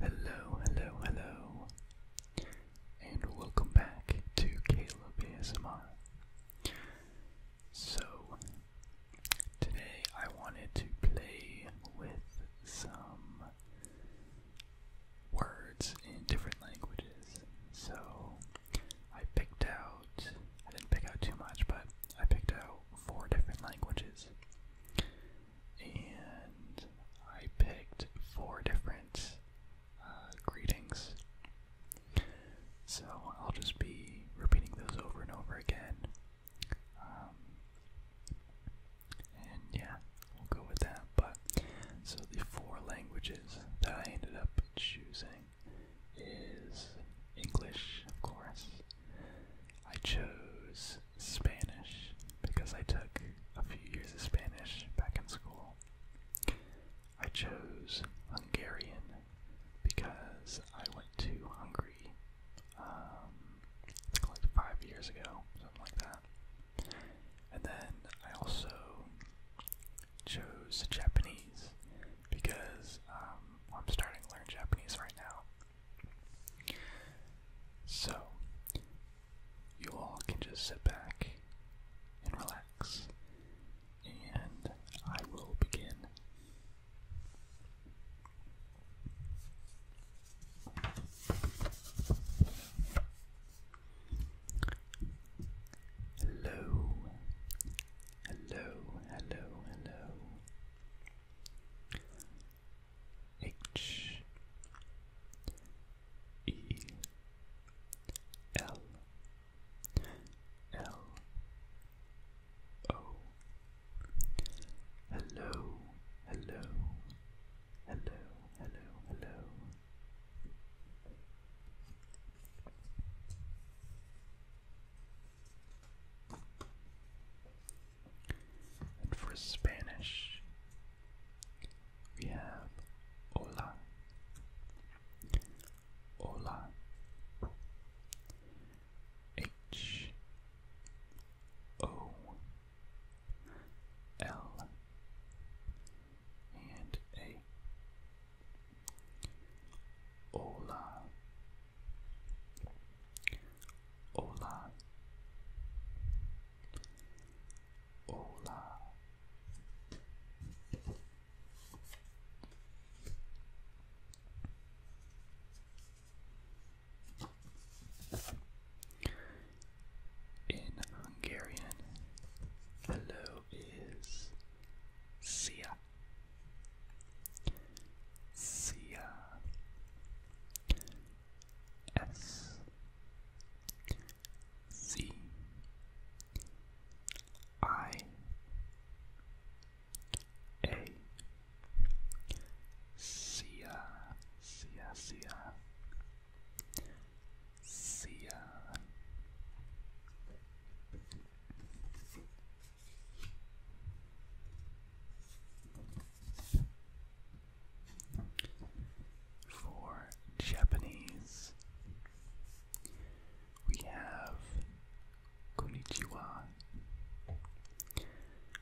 Hello, hello, hello, and welcome back to Caleb ASMR. So, today I wanted to play with some words in different languages. So I picked out, I didn't pick out too much, but I picked out four different languages. And I picked four different uh, greetings. So I'll just be repeating those over and over again. Um, and yeah, we'll go with that. But so the four languages that I ended up choosing is English, of course. I chose Spanish because I took a few years of Spanish back in school. I chose Hungarian because I went to Hungary um, like five years ago, something like that. And then I also chose Japanese because um, I'm starting to learn Japanese right now. So, you all can just sit back and relax, and I will begin. Hello, hello, hello, hello. H E L L O Hello, hello, Hello, hello, hello. And for Spanish, we have hola, hola, H O L and A. Hola. Hola. Hola. In Hungarian, hello is Sia. Sia. S. C. I. A. See ya, see ya, For Japanese, we have Konnichiwa.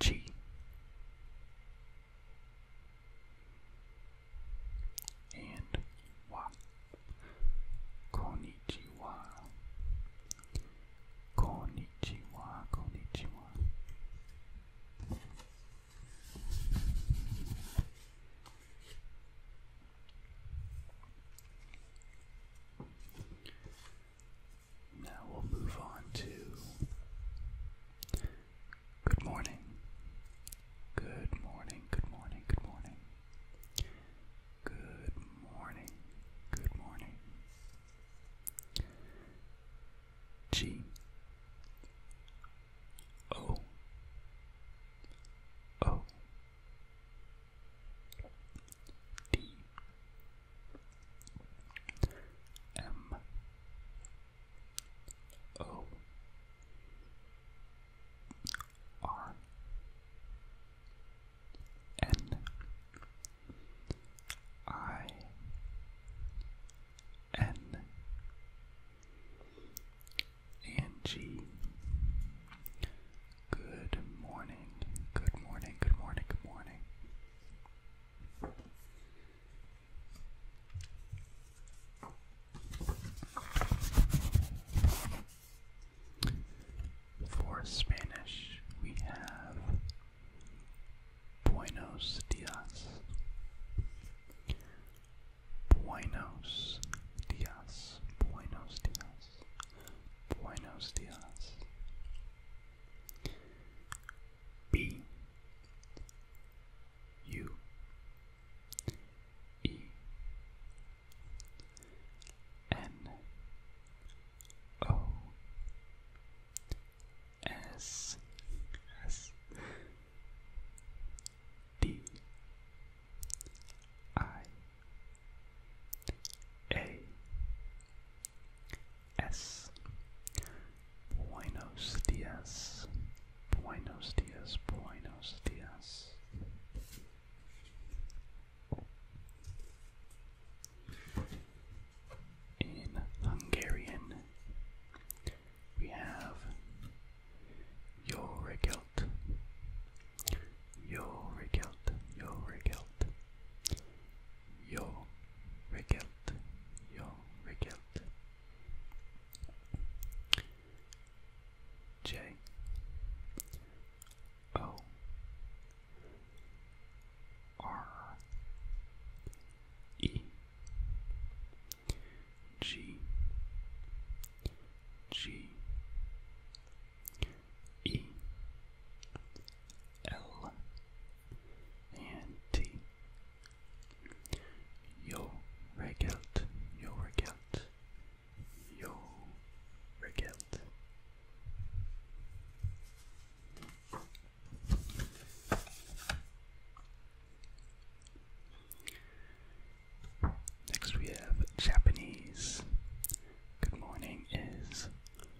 G and wa Konnichiwa Konnichiwa Konnichiwa now we'll move on to good morning. Good morning, good morning, good morning. Good morning, good morning. G O O D M O R N I N Good morning. Good morning. Good morning. Good morning. For Spanish, we have Buenos Dias. Buenos Dias. Buenos Dias. Buenos Dias. B U E N O S S D I A S. Buenos dias. Buenos dias. Buenos dias. In Hungarian, we have Yo regelt, Yo regelt, Yo regelt, jag regelt, jag regelt. J O R E G G E L and T. Yo regelt, yo regelt, yo regelt. Next we have Japanese. Good morning is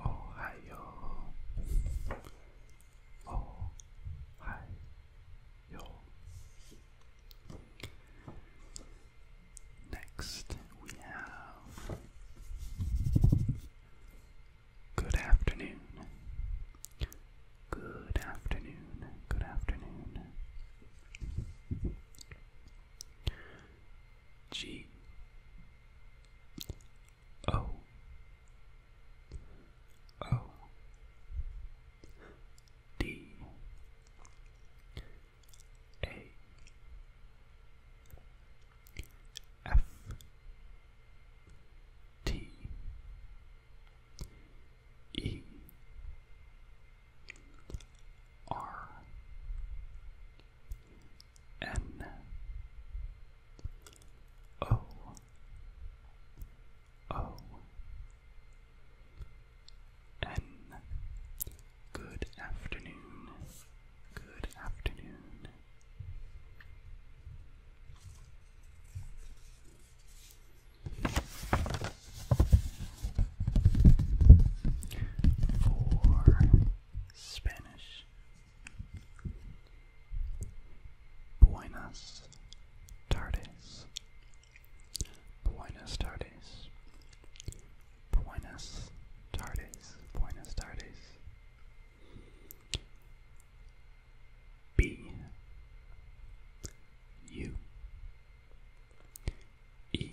Ohio, Ohio. Next, we have Good afternoon. Good afternoon. Good afternoon. G O O D A F T E R N O O N Good afternoon. Good afternoon. For Spanish Spanish. Buenas tardes. Buenas tardes. Buenas tardes. Buenas tardes. B U E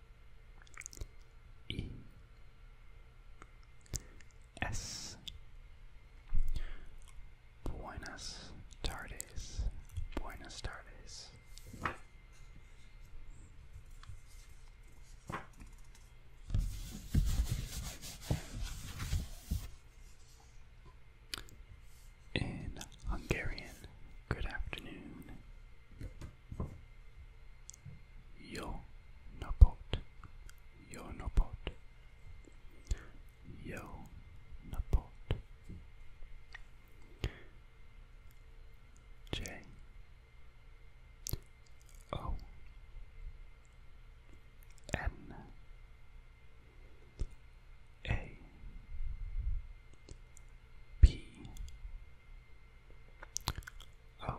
E S Buenas tardes, Buenas tardes. In Hungarian, good afternoon. Yo napot, yo napot, yo napot. J O N A P O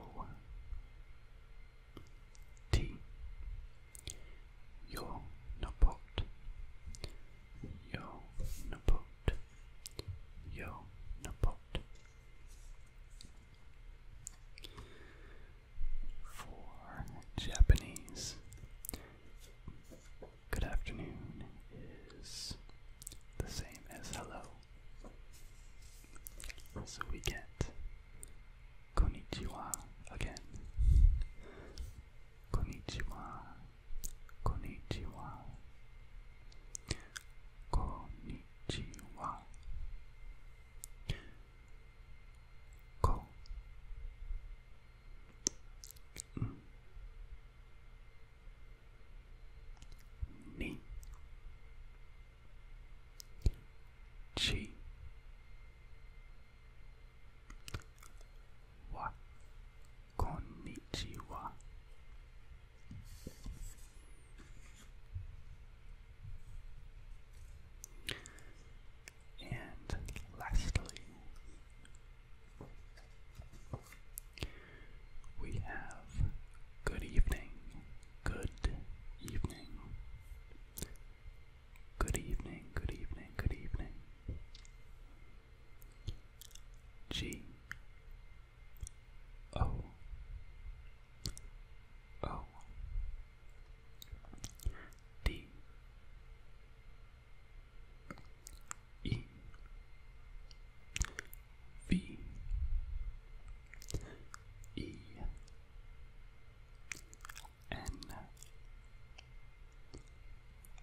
T Your Nobot Your Nobot Your Nobot For Japanese Good afternoon is the same as hello. So we get "Konichiwa" again. Konichiwa. Konichiwa. Konnichiwa. Ko. Mm ni chi wa konnichiwa and lastly we have good evening, good evening, good evening, good evening, good evening. G O O D E V E N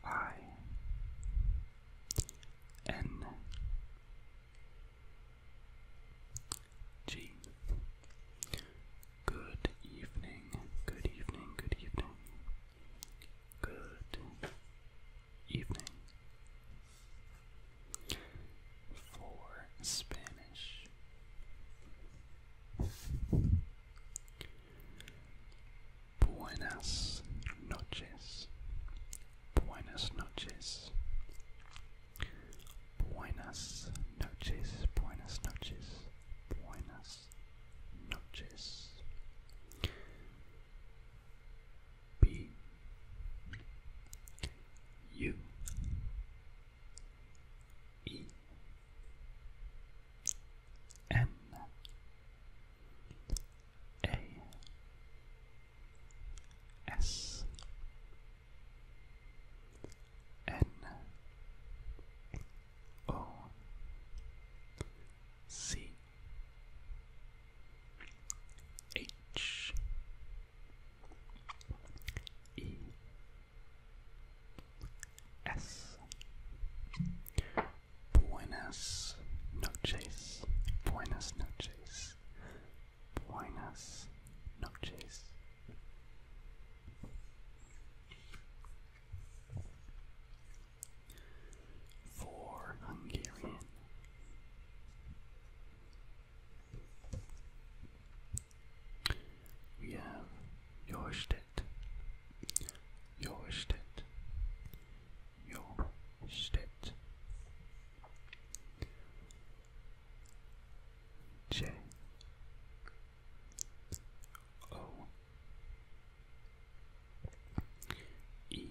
I N G Good evening, good evening, good evening. Good evening. For Spanish, buenas noches, buenas noches, buenas noches, buenas noches, buenas noches. B U E N A S N O C H E S Buenas noches, Buenas noches, Buenas noches for Hungarian. We have Jorstedt, Jorstedt, Jorstedt. J O E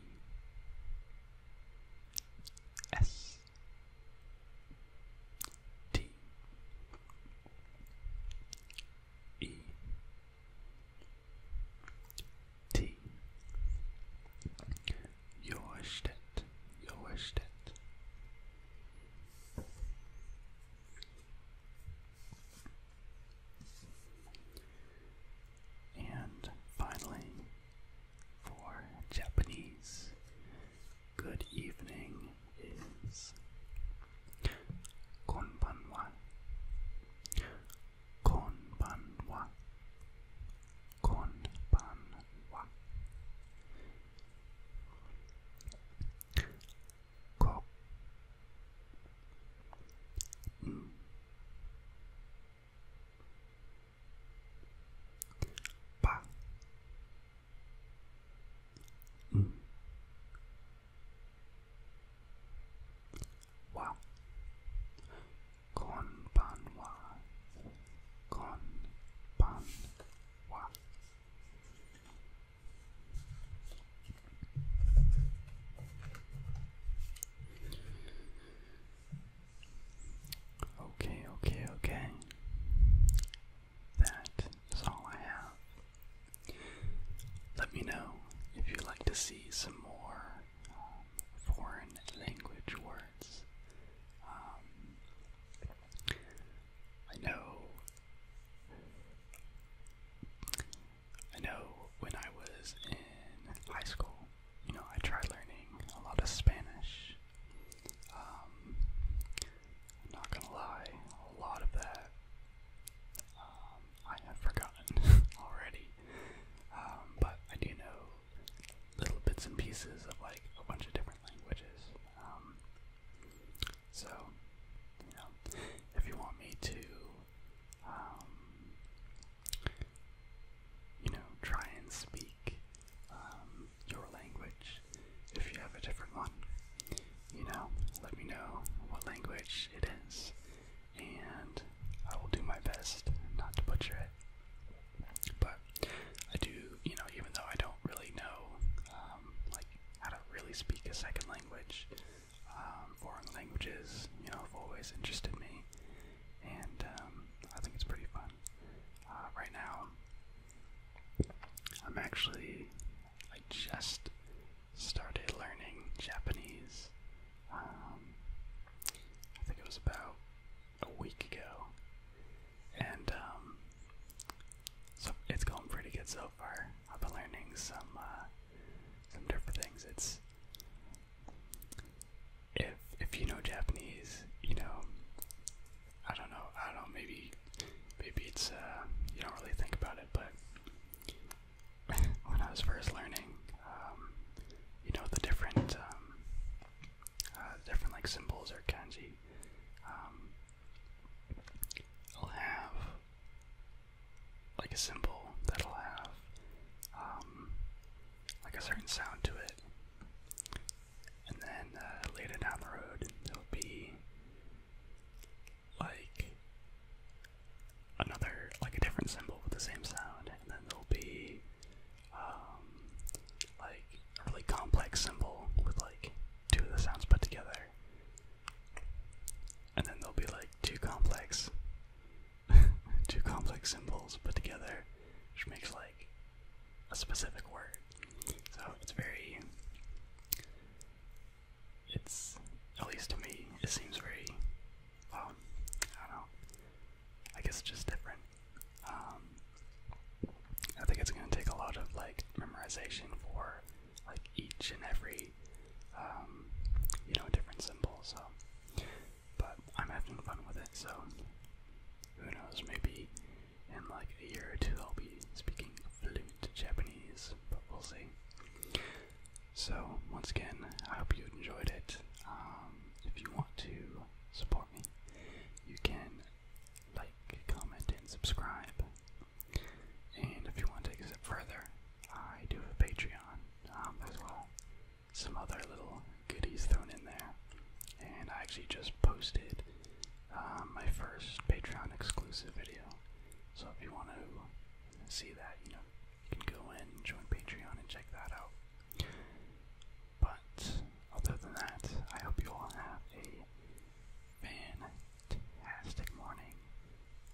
S T E T Joerstedt, Joerstedt. And finally, for Japanese, good evening is konbanwa. Konbanwa. Konbanwa. Ko ba wow ừ. con ban wa con ban wa Okay, okay, okay. That is all I have. Let me know if you'd like to see some more um, foreign language words. Um, I know I know when I was in high school, you know, I tried learning a lot of Spanish. Um, not gonna lie, a lot of that um, I have forgotten already. Um, but I do know little bits and pieces of like a bunch of different languages. so, if you want me to um, you know, try and speak um, your language if you have a different one. You know, let me know what language it is, and I will do my best not to butcher it. But I do, you know, even though I don't really know, um, like, how to really speak a second language. Um, foreign languages, you know, have always interested me, and um, I think it's pretty fun. Uh, right now, I'm actually, I just started learning Japanese. Um, I think it was about a week ago, and so it's going pretty good so far. I've been learning some uh, some different things. It's if if you know Japanese, you know I don't know, I don't maybe maybe it's uh you don't really think about it, but when I was first learning, um, you know the different um, uh, different like symbols or kanji. Um, I'll have like a symbol that'll have um, like a certain sound to it, and then uh, later down the road there will be like another like a different symbol with the same sound, and then there'll be um, like a really complex symbol with like two of the sounds put together. And then there'll be like like two complex two complex symbols put together, which makes like a specific word. So it's very it's at least to me, it seems very well, I don't know. I guess it's just different. Um, I think it's gonna take a lot of like memorization for like each and every um, you know different symbol so but I'm having fun with it so who knows maybe in like a year or two I'll be speaking fluent Japanese but we'll see so once again I hope you enjoyed it um, if you want to support me you can like comment and subscribe and if you want to take a step further, I do have a Patreon um, as well. Some other little goodies thrown in there. And I actually just posted uh, my first Patreon exclusive video. So if you want to see that, you know, you can go in and join Patreon and check that out. But other than that, I hope you all have a fantastic morning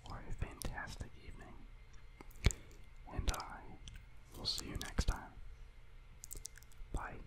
or a fantastic evening. And I will see you next time. Bye.